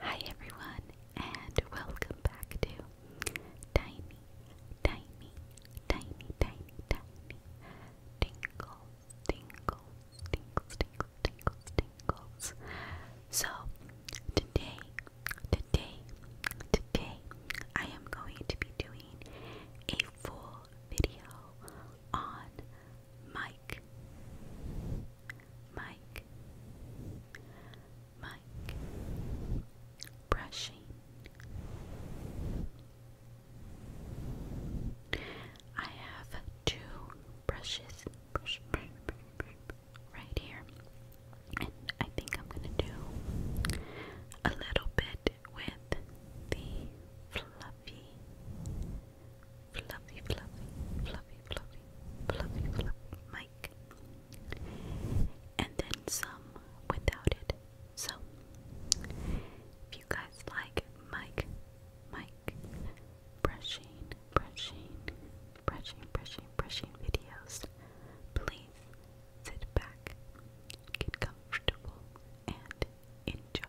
Hi everyone and welcome back to Tiny, Tiny, Tiny, Tiny, Tiny Tingles, Tingles, Tingles, Tingles, Tingles, Tingles. So today, today, today I am going to be doing a full video on Mike. Mike. Mike. Brushing. I have two brushes right here, and I think I'm going to do a little bit with the fluffy, fluffy, fluffy, fluffy, fluffy, fluffy, fluffy mic, and then some without it. So, if you guys like mic, mic, brushing, brushing, brushing, brushing, brushing videos, please sit back Get comfortable and enjoy.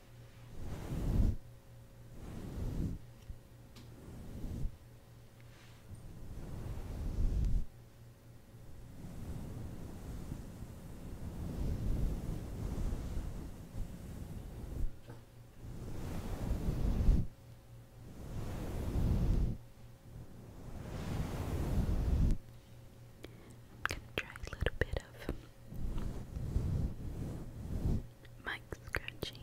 I'm try a little bit of Mike Scratchy.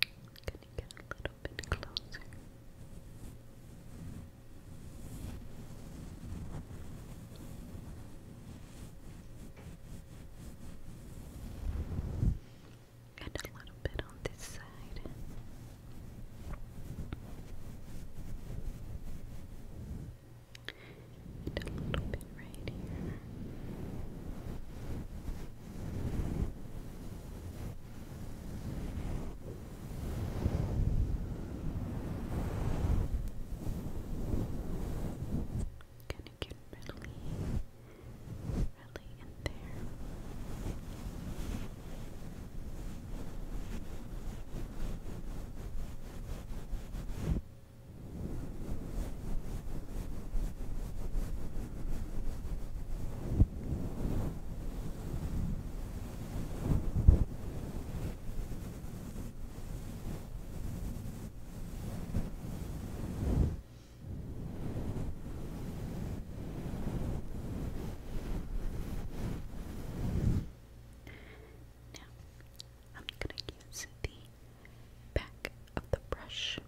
Can you get a little bit closer? And a little bit on this side. a little bit right here. Can you get really, really in there? Okay. Now, I'm going to use the back of the brush.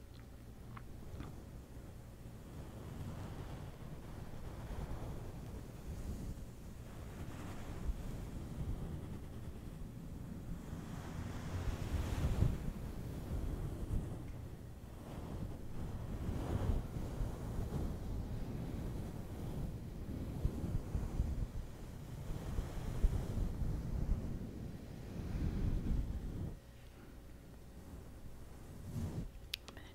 I'm gonna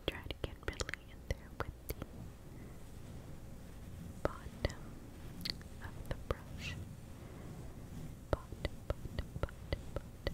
try to get really in there with the bottom of the brush. Now, little bit right here.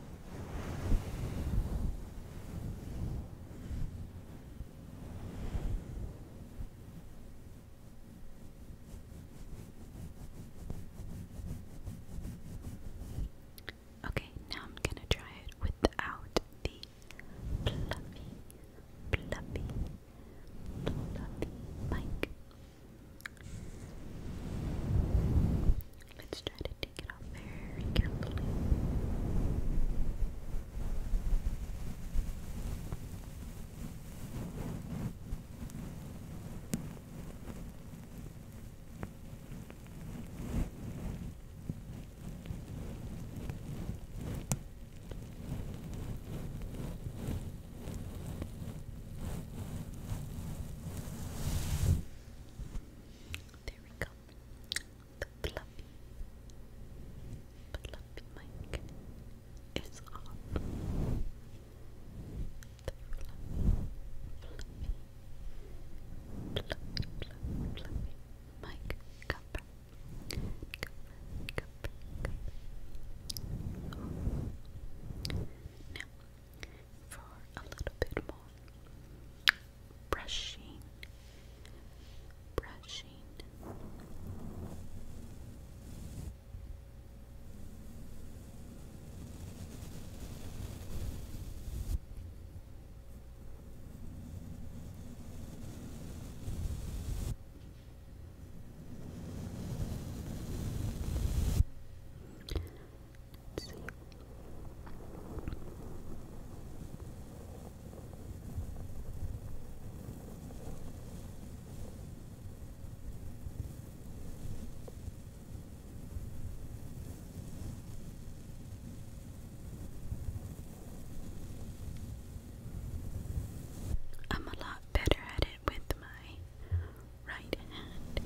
Okay, now I'm going to try it without the fluffy, fluffy, fluffy mic. Let's try to take it off carefully. There we go. The fluffy, fluffy mic is off. The fluffy, fluffy, fluffy, fluffy, fluffy mic cover. Cover, cover, Now, for a little bit more brushing, brushing. Let's I'm a lot better at it with my right hand.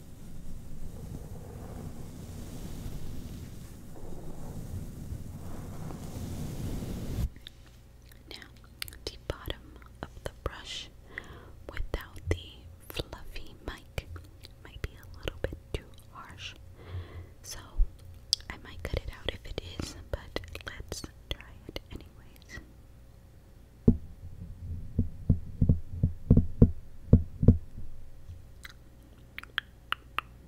Now, the bottom of the brush without the fluffy mic might be a little bit too harsh, so I might cut it out if it is, but let's try it anyways. Yeah,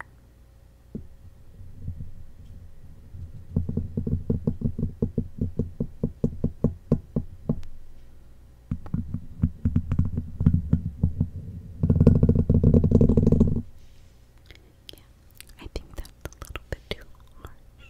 I think that's a little bit too harsh.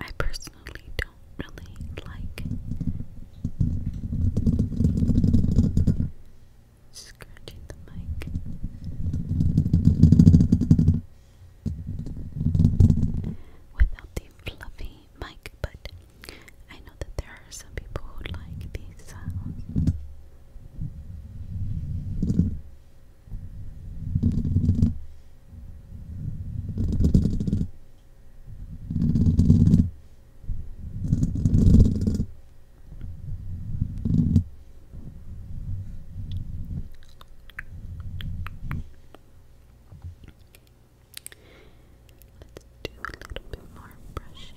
I personally don't really like scratching the mic. Without the fluffy mic, but I know that there are some people who like these sounds. Let's do a little bit more brushing.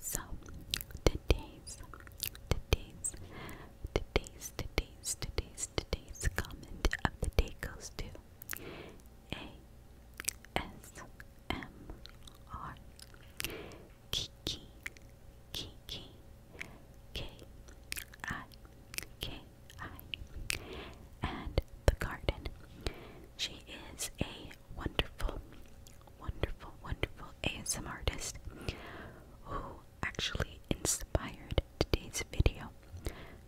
So today's today's Today's, today's, today's, today's comment of the day goes to ASMR Kiki, Kiki, K I, K I, and the garden. She is a wonderful, wonderful, wonderful ASM artist who actually inspired today's video.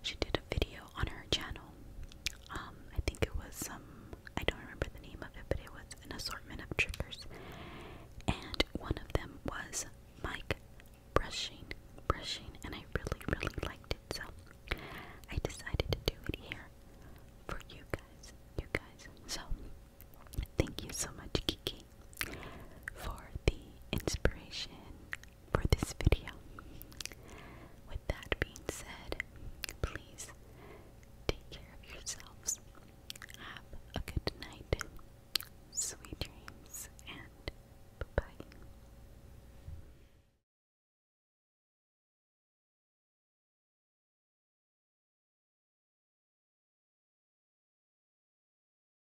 She did a video on her channel. Um, I think it was some, um, I don't remember the name of it, but it was an assortment of triggers. And one of them was mic brushing, brushing, and I really, really liked it. So I decided to do it here for you guys, you guys. So thank you so much, Kiki, for the inspiration for this video. With that being said, please take care of yourselves. Have a good night, sweet dreams, and bye bye.